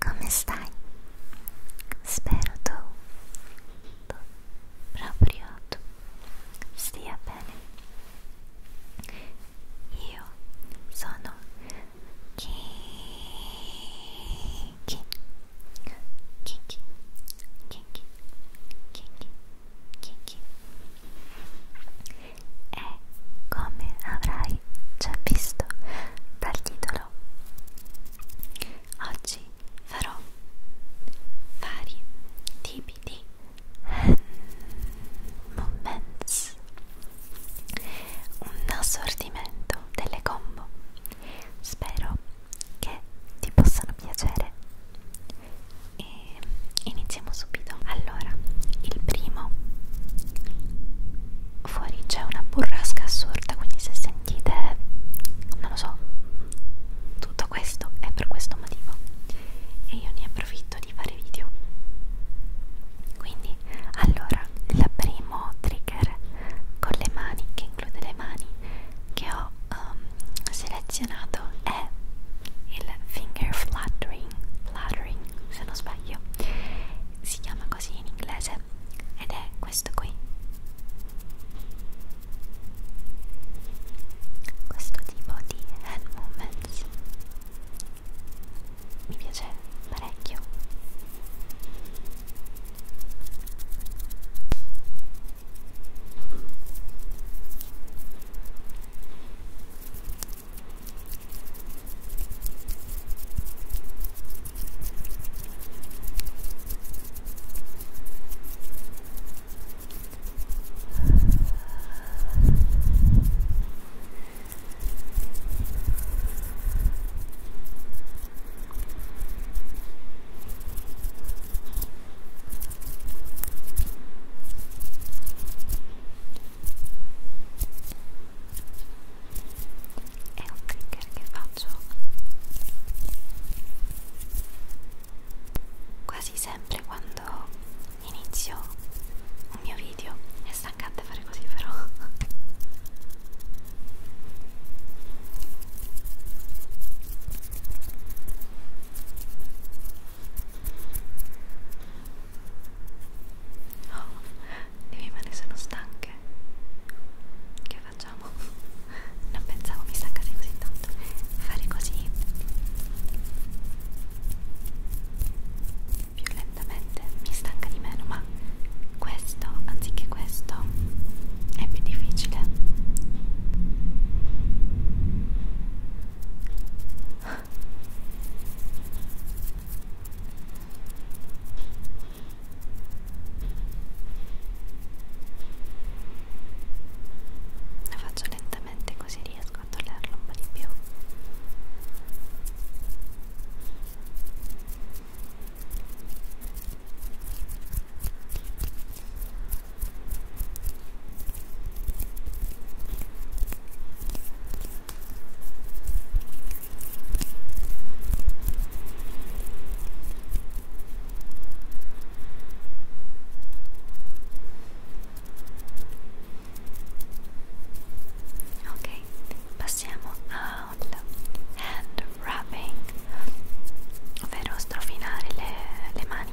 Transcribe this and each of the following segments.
Come stai? Spero tu, tu, proprio tu, stia bene. Io sono Kiki Kiki Kiki Kiki Kiki E come avrai già visto dal titolo oggi farò vari tipi di moments un assortimento delle combo spero che ti possano piacere e iniziamo subito allora il primo fuori c'è una burrasca assurda quindi se sentite non lo so tutto questo è per questo motivo e io ne approfitto di fare video quindi allora il primo trigger con le mani che include le mani che ho um, selezionato è il finger fluttering fluttering se non sbaglio si chiama così in inglese ed è questo qui questo tipo di hand movements mi piace parecchio è un trigger che faccio quasi sempre quando inizio un mio video è stancante fare così però oh, le mie mani sono stanche che facciamo? non pensavo mi stancassi così tanto fare così più lentamente mi stanca di meno ma questo anziché questo è più difficile la faccio lentamente così riesco a toglierlo un po' di più ok Ok, passiamo al hand wrapping, ovvero strofinare le, le mani.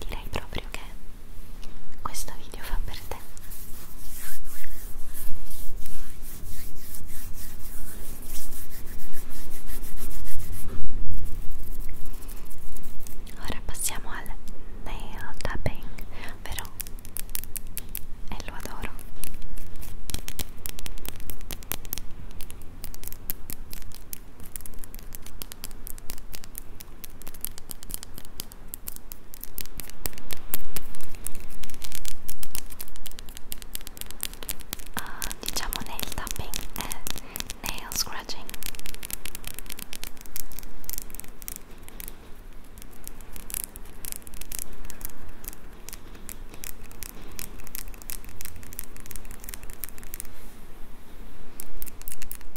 direi proprio che questo video fa per te ora passiamo al nail tapping però e lo adoro Uh, diciamo nail tapping e eh, nail scratching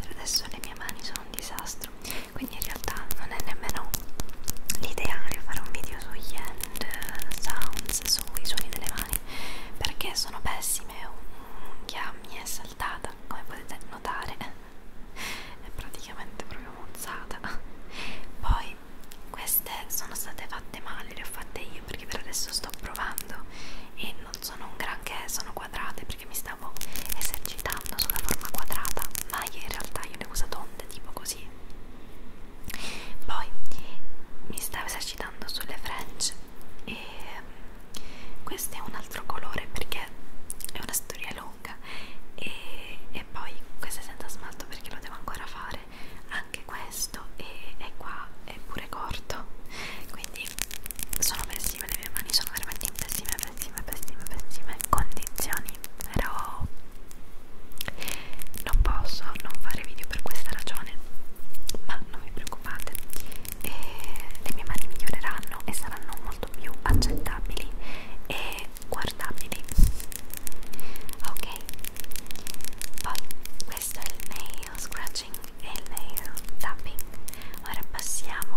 per adesso le mie mani sono un disastro quindi in realtà non è nemmeno l'ideale fare un video sugli end sounds sui suoni delle mani perché sono pessime un'unghia mi è saltata come potete notare è praticamente proprio mozzata poi queste sono state fatte male le ho fatte io perché per adesso sto provando e non non sono un granché, sono quadrate perché mi stavo esercitando sulla forma quadrata, ma in realtà io le uso tonde, tipo così. Poi mi stavo esercitando sulle French e mm, questo è un altro colore perché è una storia lunga e, e poi questo è senza smalto perché lo devo ancora fare anche questo e, e qua è pure corto quindi sono pessime, le mie mani sono veramente in pessime, pessime, pessime, pessime condizioni. Però non posso non fare video per questa ragione, ma non vi preoccupate, e le mie mani miglioreranno e saranno molto più accettabili e guardabili. Ok, poi questo è il nail scratching e il tapping ora passiamo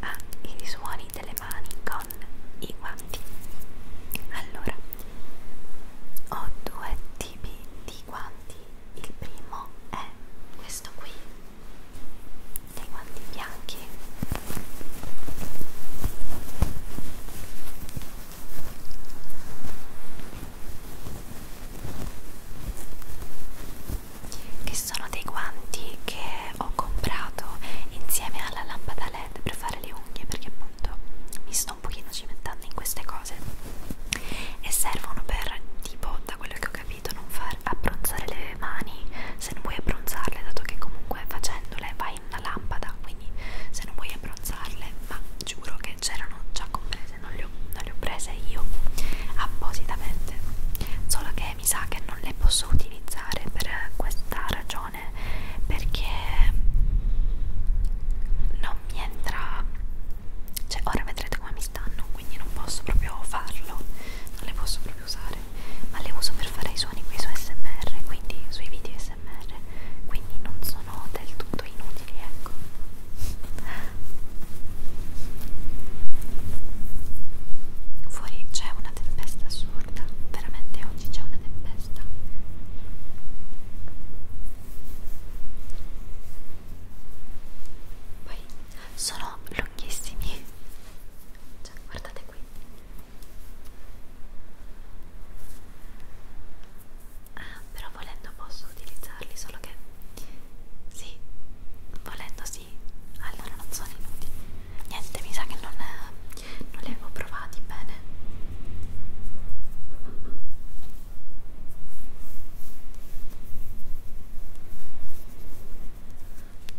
ai suoni delle mani con i guanti allora ho due tipi di guanti il primo è questo qui dei guanti bianchi che sono dei guanti che ho comprato insieme alla lampada led per fare le unghie perché appunto mi sto un pochino cimentando in queste cose e servono per tipo da quello che ho capito non far abbronzare le mani se non vuoi abbronzarle dato che comunque facendole vai in una lampada quindi se non vuoi abbronzarle ma giuro che c'erano già comprese prese, non le ho, non le ho prese io appositamente, solo che mi sa che non le posso utilizzare per questa ragione perché non mi entra, cioè ora vedrete come mi stanno, quindi non posso proprio farlo, non le posso proprio usare, ma le uso per fare i suoni qui su SMR, quindi sui video SMR, quindi non sono del tutto inutili immagini, ecco. Fuori c'è una tempesta assurda, veramente oggi c'è una tempesta. Poi sono lunghissimi. Cioè, guardate qui. Ah, però volendo posso utilizzarli solo che sì volendo sì allora non sono inutili niente mi sa che non, non li avevo provati bene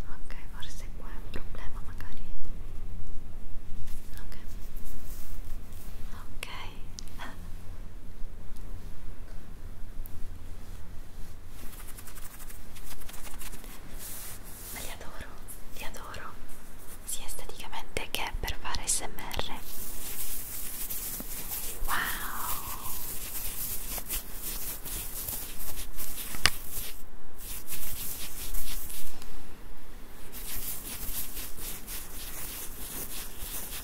ok forse qua è un problema magari ok ok Ma li adoro, li adoro sia esteticamente che per fare smr. Wow! Mi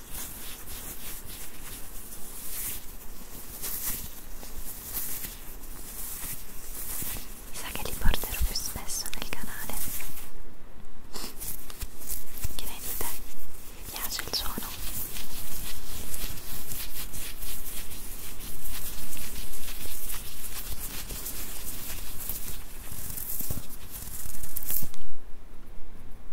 sa che li porterò più spesso nel canale. Che ne dite? Mi piace il suono?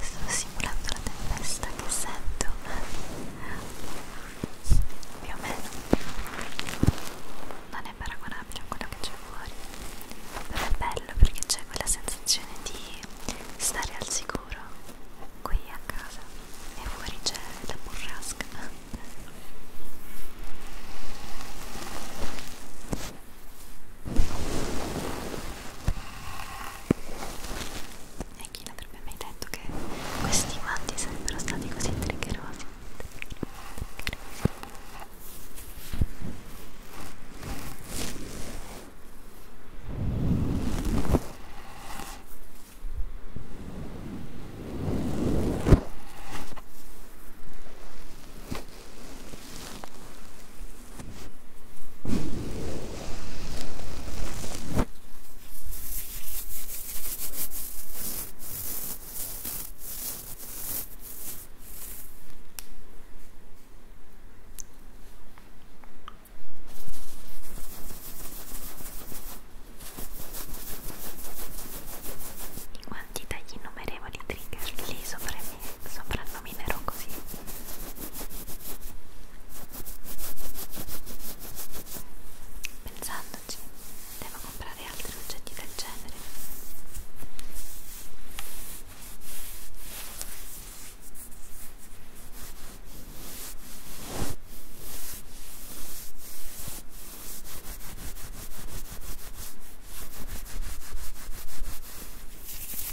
sto simulando la tempesta che sento più o meno non è paragonabile a quello che c'è fuori però è bello perché c'è quella sensazione di stare al sicuro qui a casa e fuori c'è la burrasca e chi non avrebbe mai detto che questi guanti sarebbero stati così triggerosi? Ecco quanti tagli innumerevoli trigger lì sopra me, sopra nominerò così pensandoci devo comprare altri oggetti del genere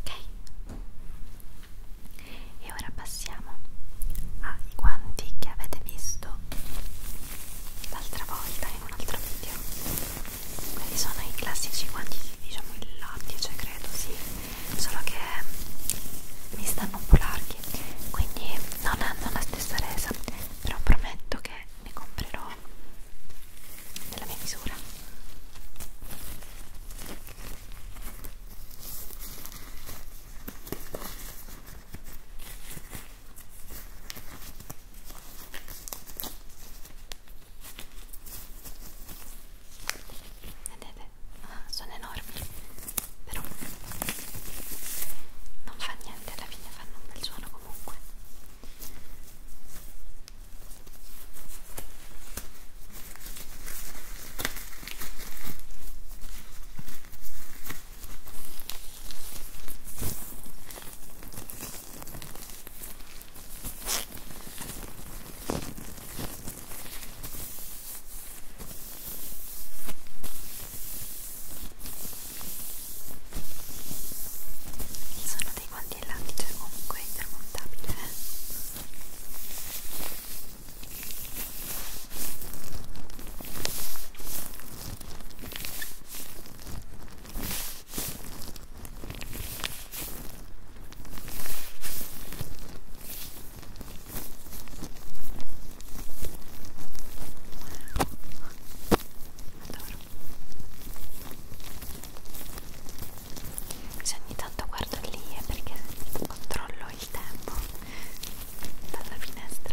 Ok, e ora passiamo ai guanti che avete visto l'altra volta in un altro video quelli sono i classici quantiti diciamo il latte cioè credo sì solo che mi stanno un po' larghi quindi non hanno la stessa resa però prometto che ne comprerò della mia misura Vedete? Ah, sono enormi, però non fa niente, alla fine fanno un bel suono comunque. Sono dei guanti in lattice comunque intramontabile. Eh? Adoro. Cioè, Se ogni tanto guardo lì è eh, perché controllo il tempo dalla finestra.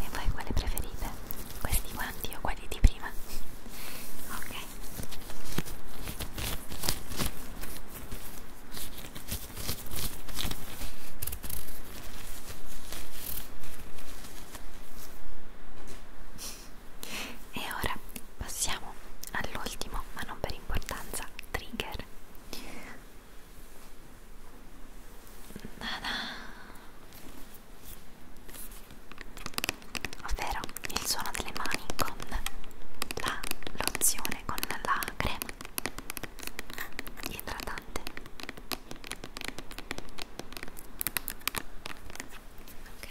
E voi quale preferite? Questi guanti o quelli di prima? Ok. E ora passiamo all'ultimo, ma non per importanza, trigger ovvero il suono delle mani con la lozione, con la crema idratante ok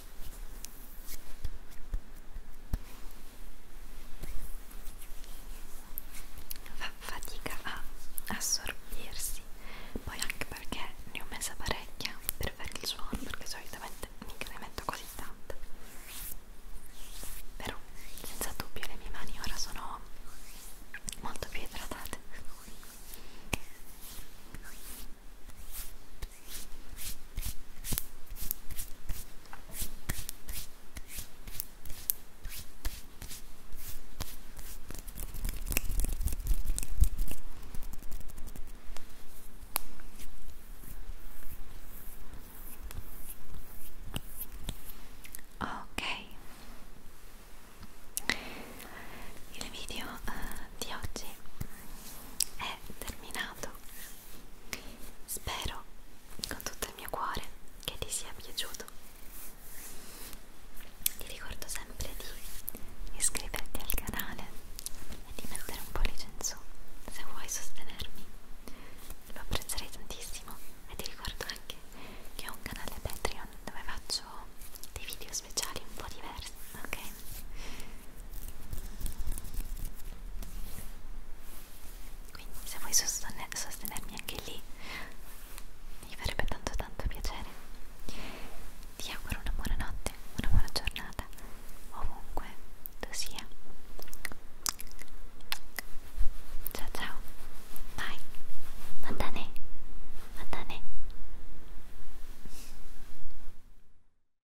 fa fatica a assorbirsi poi anche perché ne ho messa parecchia per fare il suono perché solitamente mica ne metto così tanta però senza dubbio le mie mani ora sono molto più idratate Ok, il video uh, di oggi è terminato. Spero con tutto il mio cuore che ti sia piaciuto. Ti ricordo sempre di iscriverti al canale e di mettere un pollice in su se vuoi sostenermi. Lo apprezzerei tantissimo e ti ricordo anche che ho un canale Patreon dove faccio dei video speciali un po' diversi, ok? quindi se vuoi sostener sostenermi anche lì mi farebbe tanto tanto piacere ti auguro una buona notte una buona giornata ovunque tu sia ciao ciao bye matane matane